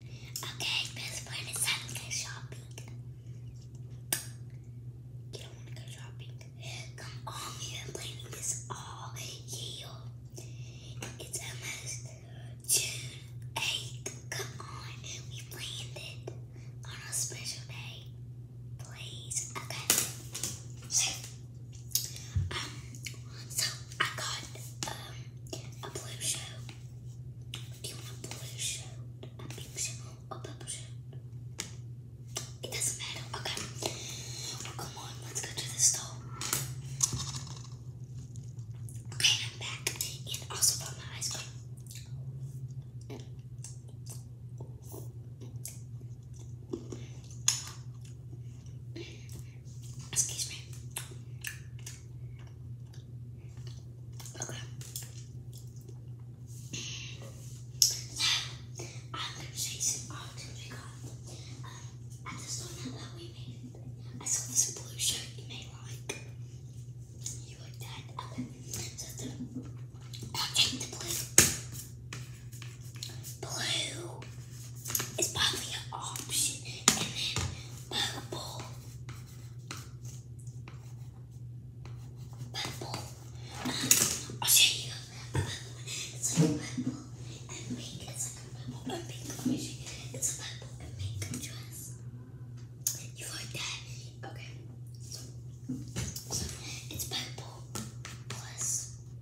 Okay, best plan is time to go shopping. You don't want to go shopping. Come on, you've planning this all year. It's almost June 8th. Come on, we planned it on a special day. Please, okay. um, so I got um a blue show do you want a blue shirt, a pink shirt, a purple shirt? It doesn't matter. Okay. come on, let's go to the store. Okay, I'm back. And also bought my ice cream. Excuse me. Okay. I'm going to show you some art we got. Um, I just that we made I saw this blue shirt you may like. You like that? So, I'll uh, the blue. Blue is probably an option. And then purple. Purple. Um, I'll show you. It's purple and It's like purple and pink. Let me a purple and pink dress. You like that? Okay. So, so it's purple plus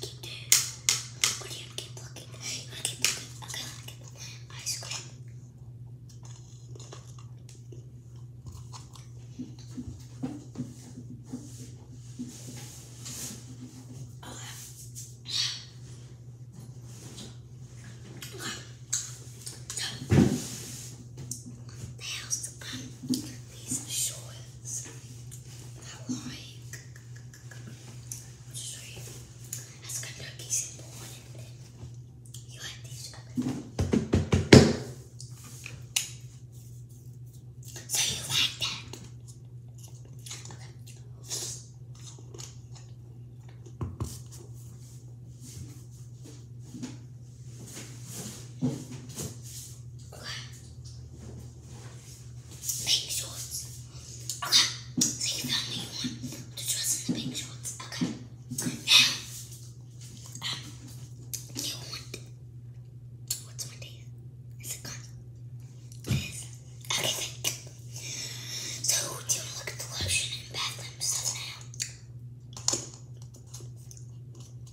Keep this. But you keep looking. You keep looking. Okay, keep looking. Ice cream. These shorts I like. Which is right here. That's Kentucky symbol on So you like that? baby shorts. Okay, so you found me you want to dress in the baby shorts. Okay, now, um, you want, what's my name? Is it gone? It is. Okay, So, do you want to look at the lotion and bathroom stuff now?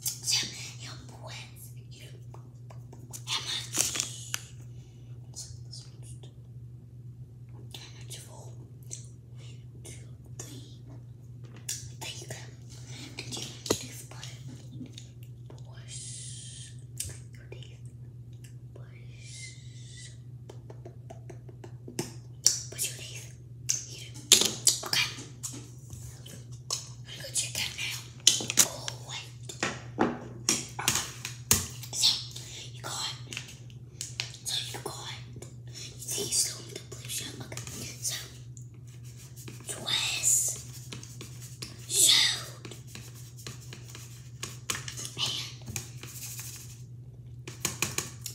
so your boys, you know, One, two, three. There you go. And you need Push. Your teeth. Push. Push your teeth. Okay. Go check that now. Oh, So, you got. So, you got. You you still So, Twist. Showed. And.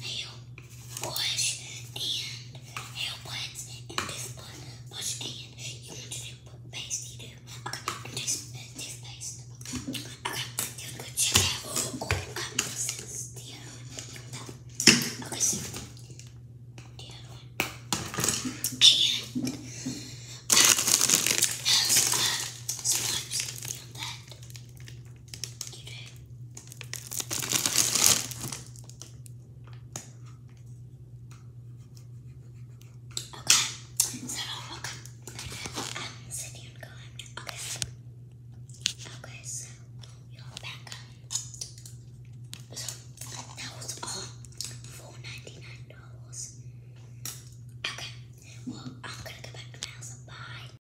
Hail wash and hair and this one wash and you want to do paste you do okay and this uh, this paste okay you to go check out oh um, this is the okay so the one and uh, uh, you Okay, so I'm sitting and going. Okay. Okay, so you're back up. So that was all four ninety nine dollars. Okay. Well, I'm gonna go back to my house and